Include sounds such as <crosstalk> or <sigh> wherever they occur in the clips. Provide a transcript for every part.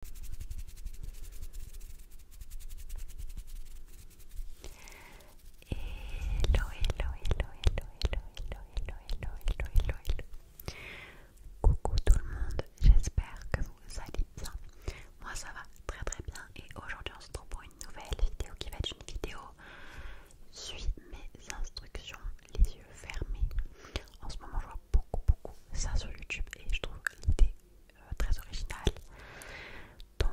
Hello, hello, hello, hello, hello, hello, hello, hello, hello, Coucou tout le monde, j'espère que vous allez bien. Moi ça va très très bien et aujourd'hui on se retrouve pour une nouvelle vidéo qui va être une vidéo suit mes instructions les yeux fermés. En ce moment je vois beaucoup beaucoup ça sur YouTube et je trouve l'idée euh, très originale. Donc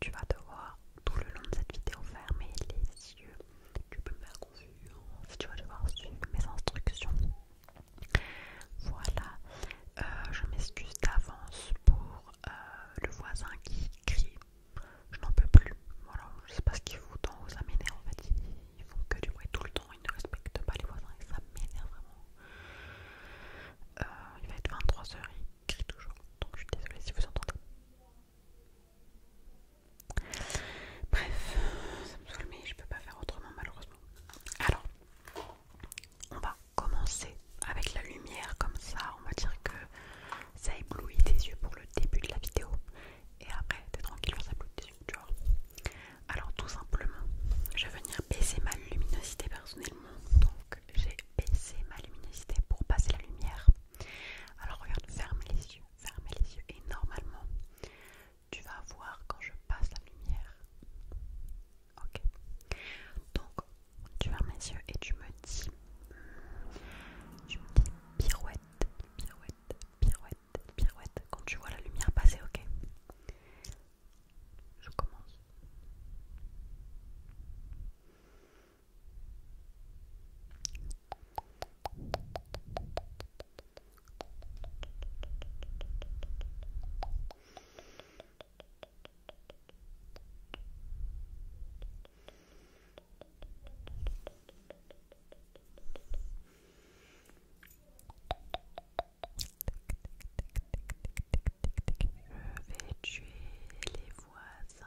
tu vas devoir tout le long de cette vidéo fermer les yeux. Tu peux me faire si tu vas devoir suivre mes instructions. Voilà, euh, je m'excuse d'avance pour euh, le voisin qui crie. Je n'en peux plus. Voilà, je sais pas ce qu'il faut en vous amener en fait. Il font que du bruit tout le temps, ils ne respectent pas les voisins et ça m'énerve vraiment. Euh, il va être 23h, il crie toujours, donc je suis désolée si vous entendez. Bref, ça me saoule, mais je peux pas faire autrement malheureusement. Alors, on va commencer avec la lumière comme ça, on va dire que ça éblouit tes yeux pour le début de la vidéo. Et après, t'es tranquille, on yeux alors tout simplement, je vais venir baisser ma luminosité personnellement. Donc j'ai baissé ma luminosité pour passer la lumière. Alors regarde, ferme les yeux, ferme les yeux. Et normalement, tu vas voir quand je passe la lumière. Ok. Donc tu fermes les yeux et tu me dis, tu me dis pirouette, pirouette, pirouette, pirouette, quand tu vois la lumière passer, ok Je commence. Je vais tuer les voisins.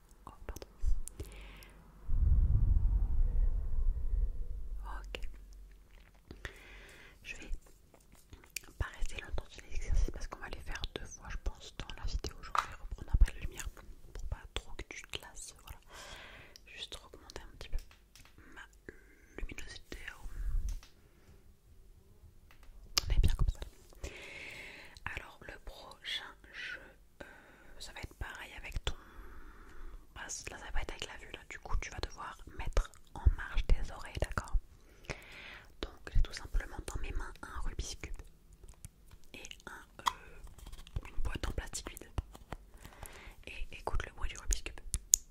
Oh, ok. Je vais pas rester longtemps sur les exercices parce qu'on va les faire deux fois, je pense, dans la vidéo. Je vais reprendre après la lumière pour pas trop que tu te lasses. Voilà. Juste augmenter un petit peu ma luminosité. On est bien comme ça. Alors, le prochain jeu, euh, ça va être pareil avec ton... là ça va pas être avec la vue là, du coup tu vas devoir mettre en marche tes oreilles, d'accord Donc j'ai tout simplement dans mes mains un rubis Cube et un, euh, une boîte en plastique vide. Et écoute le bruit du rubiscube. Cube.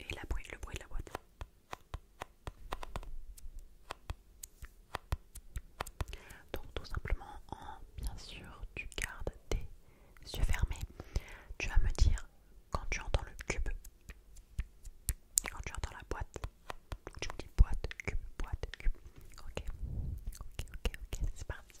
Et la bruit, le bruit de la boîte. Donc tout simplement bien sûr tu gardes tes yeux fermés. Tu vas me dire quand tu entends le cube, quand tu entends la boîte, tu me dis boîte, cube, boîte, cube. Ok, ok, ok, ok, c'est parti.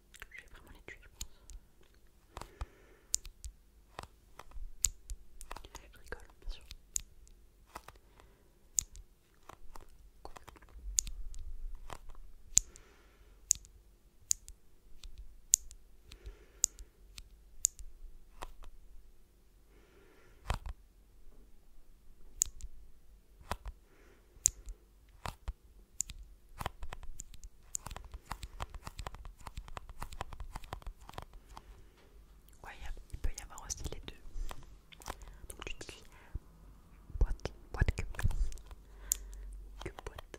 Je vais vraiment les tuer, je pense. Je rigole, bien sûr. Ouais, il peut y avoir aussi les deux. Donc tu dis boîte, boîte que que boîte.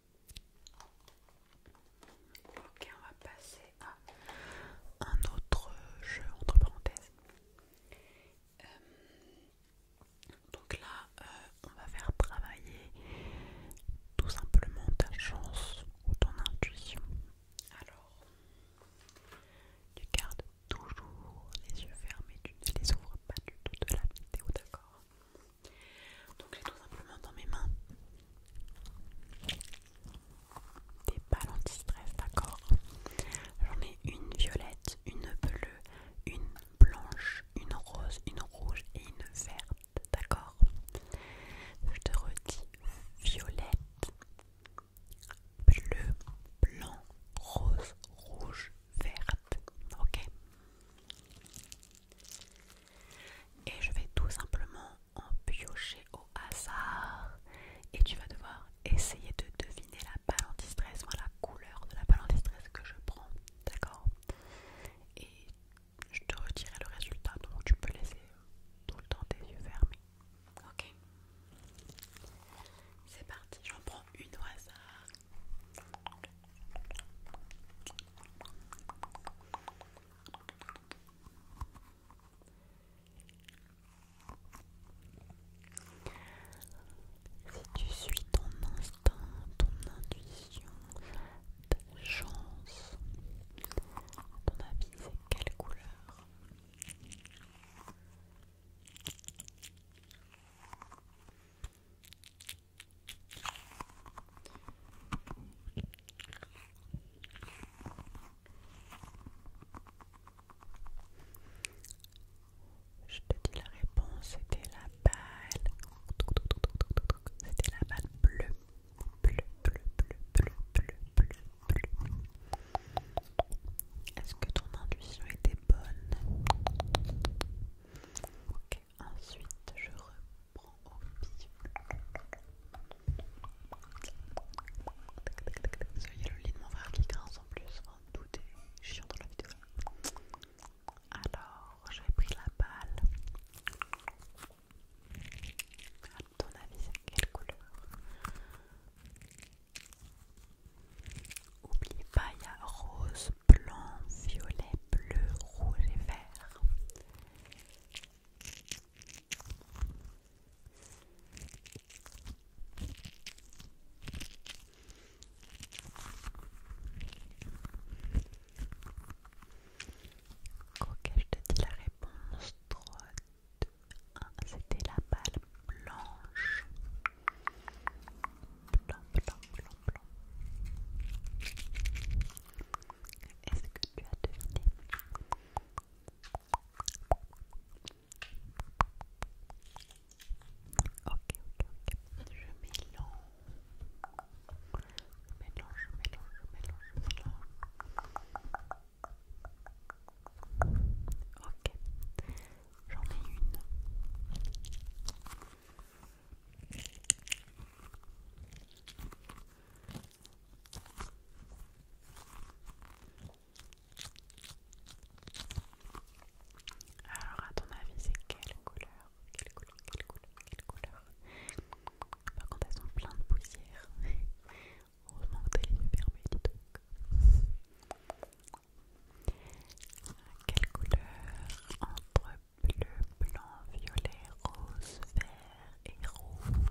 Ok, on va passer à un autre jeu entre parenthèses. Euh, donc là, euh, on va faire travailler tout simplement ta chance ou ton intuition. Alors, tu gardes toujours les yeux fermés, tu ne les ouvres pas du tout de la vidéo, d'accord donc j'ai tout simplement dans mes mains des balles anti-stress, d'accord J'en ai une violette, une bleue, une blanche, une rose, une rouge et une verte, d'accord Je te redis violette, bleu, blanc, rose, rouge, verte, ok et je vais tout simplement en piocher au hasard. Et tu vas devoir essayer de deviner la balle anti-stress, la couleur de la balle anti-stress que je prends. D'accord Et je te retirerai le résultat, donc tu peux laisser tout le temps tes yeux fermés. Ok C'est parti, j'en prends une au hasard. Si tu suis ton instinct, ton intuition, ta chance, ton avis c'est quelle couleur je te dis la réponse, c'était la balle. C'était la balle bleue. Bleu, bleu, bleu, bleu, bleu, bleu, bleu. Est-ce que ton intuition était bonne Ok ensuite je reprends au pif. Parce y a le lit de mon frère qui grince en plus, en tout est chiant dans la vidéo. Alors, j'ai pris la balle. À ton avis, c'est quelle couleur Oublie pas, il y a rose, blanc, violet, bleu, rouge et vert. Ok, je te dis la réponse. 3, 2, 1. C'était la balle blanche. Est-ce que tu as deviné Ok, ok, ok. Je mélange. Je mélange, je mélange, je mélange, je mélange. Ok. J'en ai une. Alors, à ton avis, c'est quelle couleur Quelle couleur Quelle couleur Quelle couleur Par contre, elles sont pleines de poussière. <laughs> Heureusement que t'as les yeux fermés, dis donc. Quelle couleur entre bleu, blanc, violet, rose, vert et rouge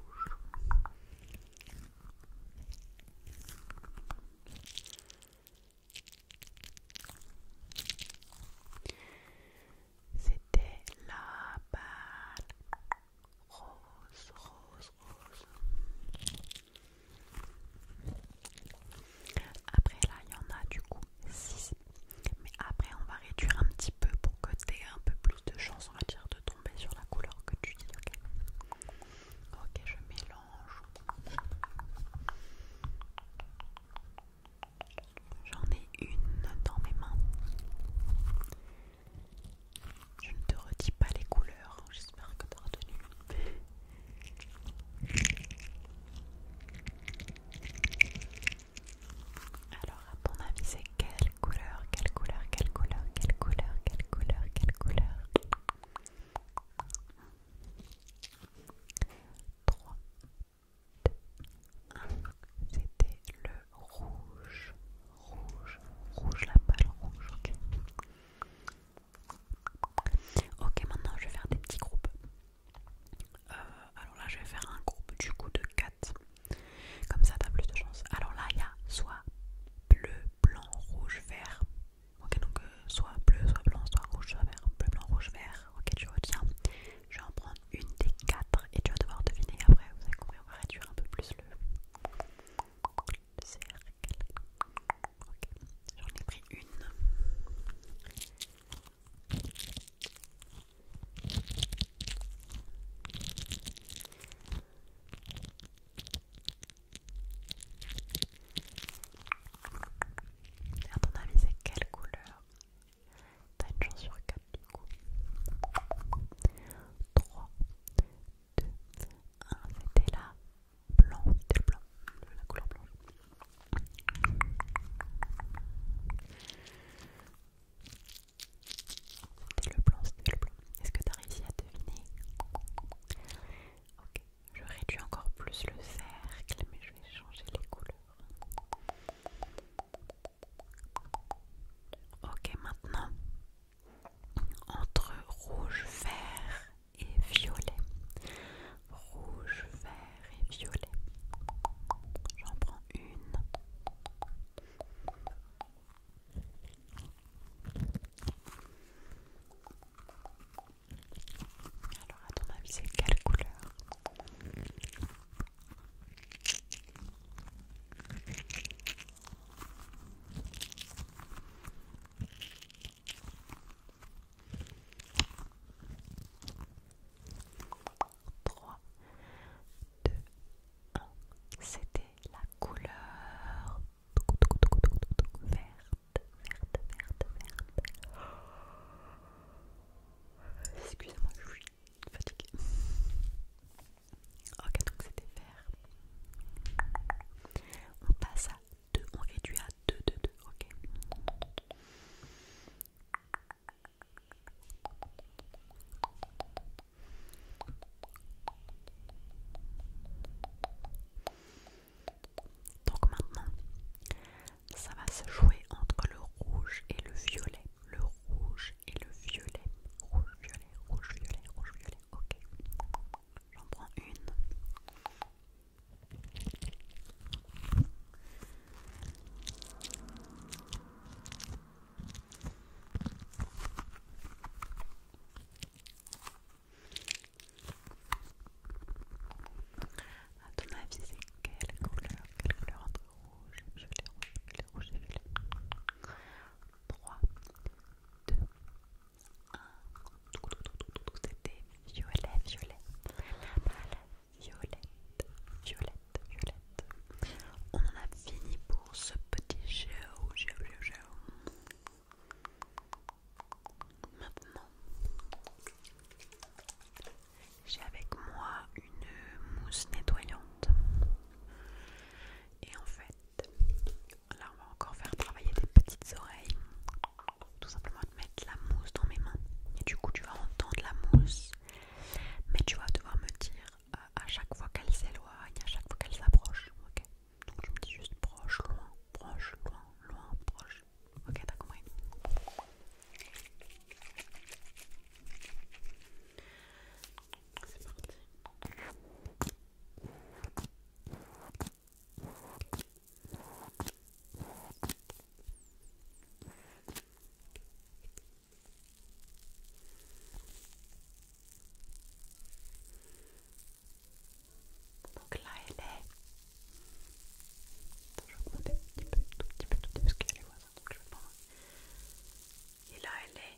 C'était la balle rose, rose, rose. Après là, il y en a du coup 6. Mais après, on va réduire un petit peu pour que tu aies un peu plus de chance, on va dire, de tomber sur la couleur que tu dis, ok Ok, je mélange. J'en ai une dans mes mains. Je ne te redis pas les couleurs, j'espère que tu retenu. Alors à ton avis c'est quelle couleur, quelle couleur, quelle couleur, quelle couleur, quelle couleur, quelle couleur 3, 2, 1, c'était le rouge, rouge, rouge, la balle rouge, ok Ok, maintenant je vais faire des petits groupes. Euh, alors là, je vais faire un groupe du coup de 4. Comme ça, t'as plus de chance. Alors là, il y a soit bleu, blanc, rouge, vert. Ok, donc euh, soit bleu, soit blanc, soit rouge, soit vert. Bleu, blanc, rouge, vert. Ok, tu retiens. Je vais en prendre une des 4 et tu vas devoir deviner après. Vous avez compris, on va réduire un peu plus le, cercle. Ok, J'en ai pris une. À ton avis, c'est quelle couleur T'as une chance sur 4 du coup. 3, 2, 1, c'était là blanc, le blanc, la couleur blanche. C'était le blanc, c'était le blanc. Est-ce que tu as réussi à deviner Ok, je réduis encore plus le cercle, mais je vais changer les couleurs. Ok, maintenant, entre rouge, vert et violet. Rouge, vert et violet. J'en prends une. Alors à ton avis c'est quelle couleur 3, 2, 1. C'était la couleur verte, verte, verte, verte. Oh, excusez-moi, je suis fatiguée. Ok, donc c'était vert. On passe à 2, on réduit à 2, 2, 2, ok. Donc maintenant, ça va se jouer entre le rouge et le violet. Le rouge et le violet. Rouge, violet, rouge, violet, rouge, violet. Ok. J'en prends une. A ton avis, c'est quelle couleur Quelle couleur entre rouge, violet, rouge, violet, rouge et violet 3, 2, c'était violet, violet. Violet, violette, violette, violette. On en a fini pour ce petit géo, géo, géo. Maintenant, j'ai avec moi une mousse nettoyante. Et en fait, Là, on va encore faire travailler des petites oreilles. Tout simplement de mettre la mousse dans mes mains. Et du coup, tu vas entendre la mousse. Mais tu vas devoir me dire euh, à chaque fois qu'elle s'éloigne, à chaque fois qu'elle s'approche. Ok Donc, je me dis juste proche, loin, proche, loin, loin, proche. Ok, t'as compris c'est parti. Donc là, elle est. Attends, je vais augmenter un petit peu, tout petit peu, tout petit peu, parce qu'elle est voisine, donc je vais prendre. Et là, elle est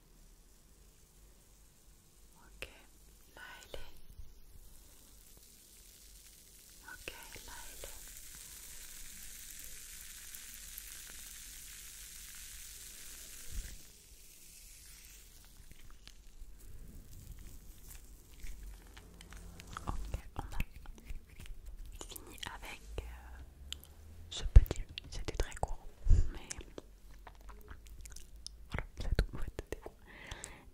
Ok, là elle est. Ok, là elle est. Ok, on a fini avec euh, ce petit. C'était très court, mais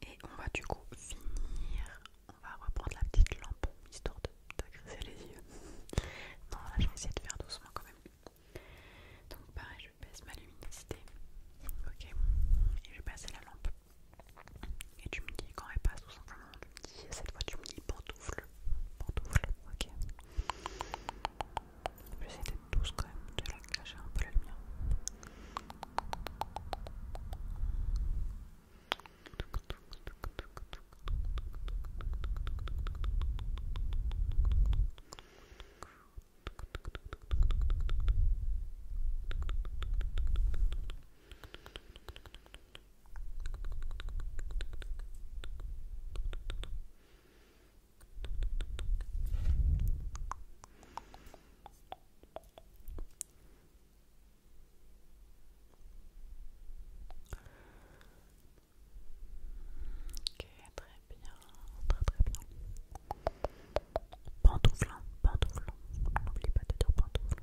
et on va du coup finir. On va reprendre la petite lampe histoire t'agresser les yeux. <laughs> Non, là je vais essayer de faire doucement quand même. Donc, pareil, je baisse ma luminosité. Ok, et je vais passer la lampe. Et tu me dis quand elle passe, tout simplement. Tu me dis, cette fois, tu me dis pantoufle. Pantoufle, ok. J'essaie d'être douce quand même, de la cacher un peu la lumière. Ok, très bien, très très bien. Pantoufle, hein, pantoufle, n'oublie pas de dire pantoufle.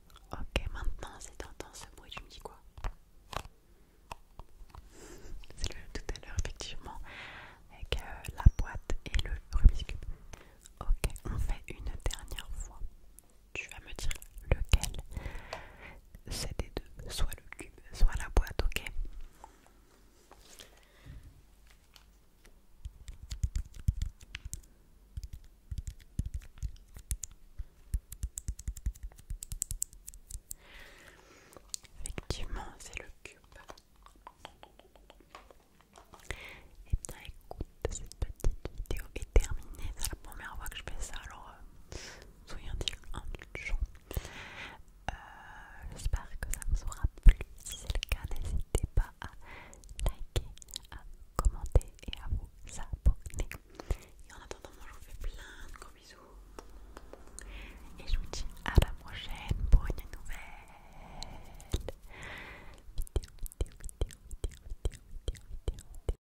Ok, maintenant si entends ce bruit, tu me dis quoi <laughs> C'est le tout à l'heure, effectivement, avec euh, la boîte et le rubis Cube. Ok, on fait une dernière fois. Tu vas me dire lequel c'est des deux, soit le cube, soit la boîte, ok Effectivement, c'est le cube. Et eh bien écoute, cette petite vidéo est terminée. C'est la première fois que je fais ça, alors euh, soyons soyez indulgents. Euh, j'espère que ça vous aura plu. Si c'est le cas, n'hésitez pas à liker, à commenter et à vous abonner. Et en attendant, moi je vous fais plein de gros bisous. Et je vous dis à la prochaine pour une nouvelle vidéo, vidéo, vidéo, vidéo, vidéo, vidéo, vidéo, vidéo.